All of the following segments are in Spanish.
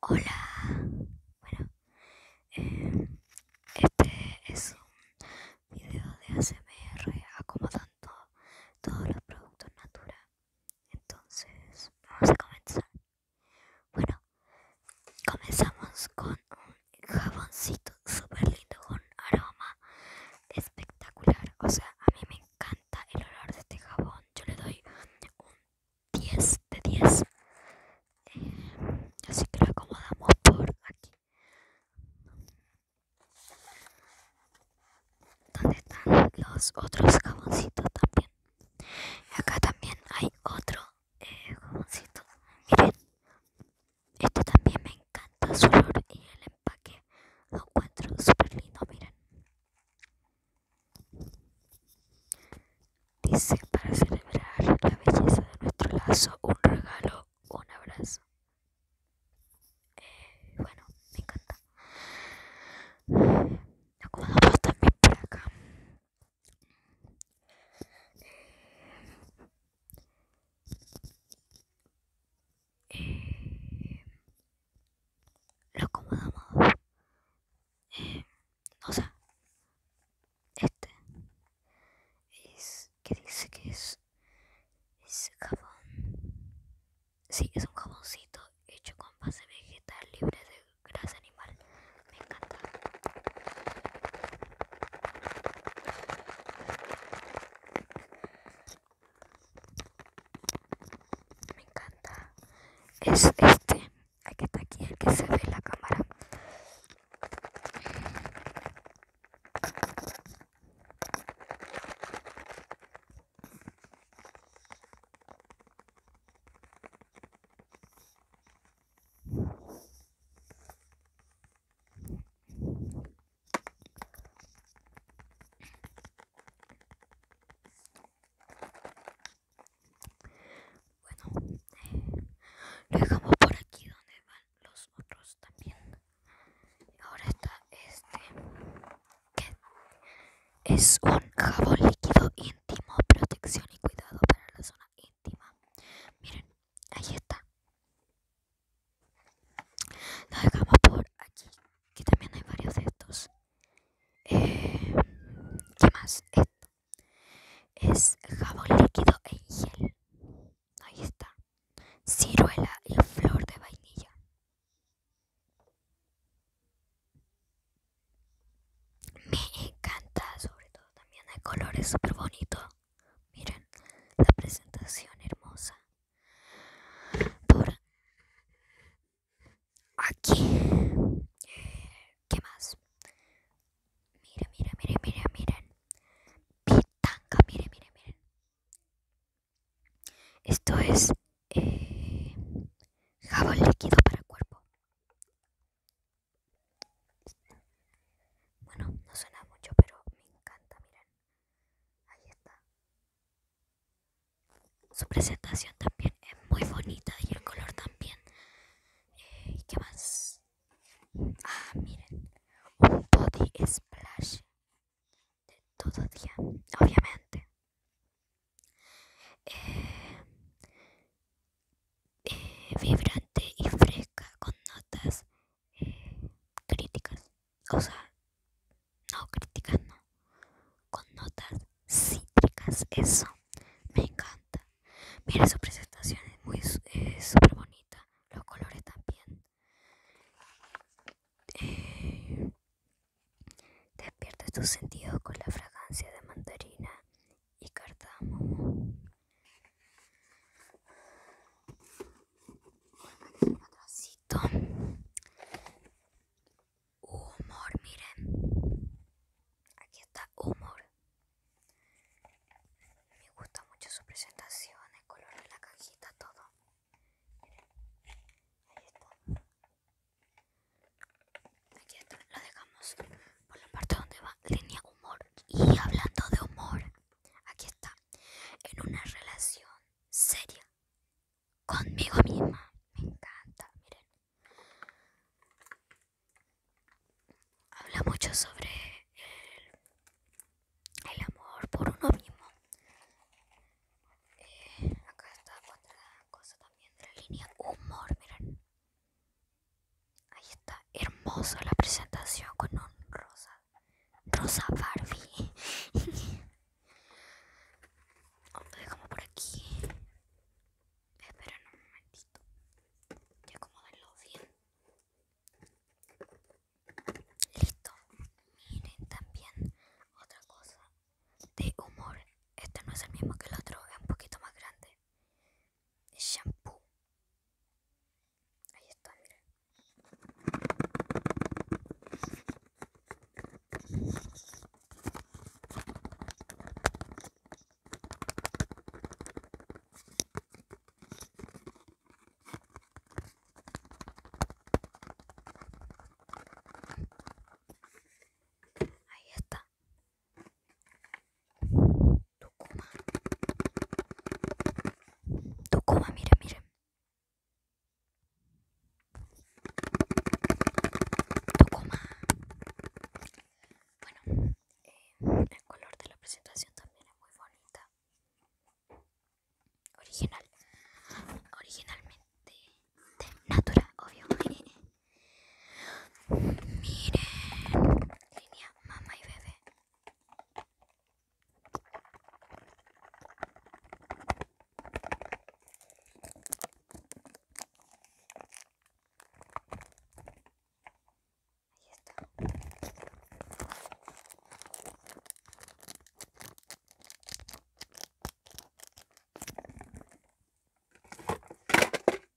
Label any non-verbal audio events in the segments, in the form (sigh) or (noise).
Hola, bueno, eh, este es un video de ASMR acomodando todos los productos Natura. Entonces, vamos a comenzar. Bueno, comenzamos con un jaboncito súper lindo con aroma espectacular. O sea, a mí me encanta el olor de este jabón. Yo le doy un 10 de 10 eh, así que lo acomodamos por aquí donde están los otros jaboncitos también acá también hay otro eh, jaboncito miren Esto también me encanta su olor y el empaque lo encuentro súper lindo miren Dice para celebrar la belleza de nuestro lazo, un regalo, un abrazo. Eh, bueno, me encanta. Lo Acomodamos también por acá. Eh, lo acomodamos o sea, este es que dice que es, es jabón. Sí, es un jaboncito hecho con base vegetal libre de grasa animal. Me encanta. Me encanta. Es este hay que estar aquí el que se ve la cámara. Bueno, eh, lo dejamos por aquí donde van los otros también. Ahora está este, que es un jabón líquido íntimo, protección y cuidado para la zona íntima. Miren, ahí está. Lo dejamos por aquí, que también hay varios de estos. Eh, ¿Qué más? es jabón líquido en gel. Ahí está. Ciruela y flor de vainilla. Me encanta, sobre todo también el color es súper bonito. Miren, la presentación hermosa. Por Aquí. ¿Qué más? Mira, mira, mira, miren, miren. Pitanga, miren, miren, miren. Esto es eh, jabón líquido para cuerpo. Bueno, no suena mucho, pero me encanta, miren. Ahí está. Su presentación también es muy bonita y el color también. Eh, qué más? Ah, miren. Un body splash de todo día, obviamente. Eh, eh, vibrante y fresca con notas críticas. O sea, no críticas, no con notas cítricas. Eso me encanta. Mira su presentación, es muy bonita. Los colores también. Eh, despierta tus sentidos con la fragancia de mandarina y cardamomo humor, miren. Aquí está humor. Me gusta mucho su presentación, el color de la cajita, todo. Ahí está. Aquí está, lo dejamos por la parte donde va línea humor. Y hablando de humor, aquí está. En una relación seria conmigo misma. Me encanta, miren. Habla mucho sobre el, amor por uno mismo. Eh, acá está otra cosa también de la línea humor, miren. Ahí está, hermosa la presentación con un rosa. Rosa Barbie. Lo (laughs) dejamos por aquí. Esperen un momentito. ya acomodenlo bien. Listo. Miren también otra cosa de humor. Este no es el mismo que el otro, es un poquito más grande. Shampoo. Ahí está, miren. いやったどこまどこま見る見る Bueno, eh, el color de la presentación también es muy bonita. Original. Originalmente de Natura, obvio. (laughs) Miren, línea mamá y bebé. Ahí está.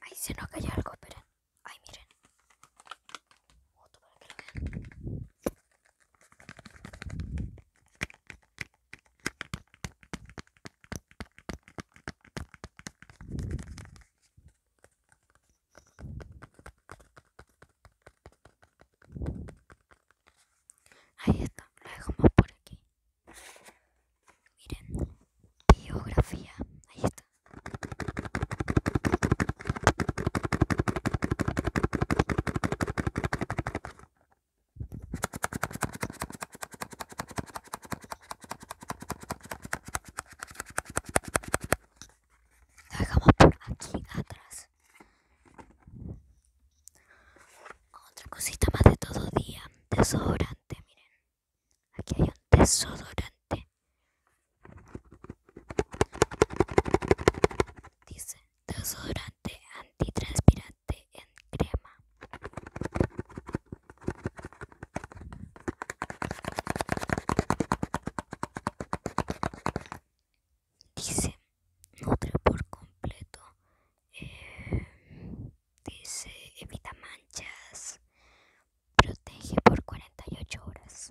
Ahí se nos cayó algo, esperen. Ay, miren. Otro para que lo vean. Ahí está, lo dejamos por aquí. Miren, biografía. Ahí está. Dejamos por aquí atrás. Otra cosita más de todo día. Desodorante, miren. Aquí hay un desodorante. Dice desodorante antitranspirante en crema. Dice, nutre por completo. Eh, dice, evita manchas. Protege por 48 horas.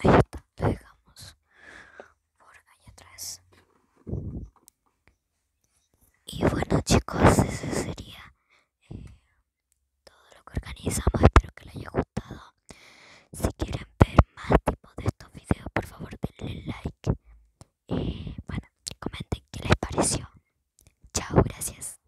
Ahí está, lo dejamos por allá atrás. Y bueno chicos, ese sería eh, todo lo que organizamos. Espero que les haya gustado. Si quieren ver más tipos de estos videos, por favor denle like. Y eh, bueno, comenten qué les pareció. Chao, gracias.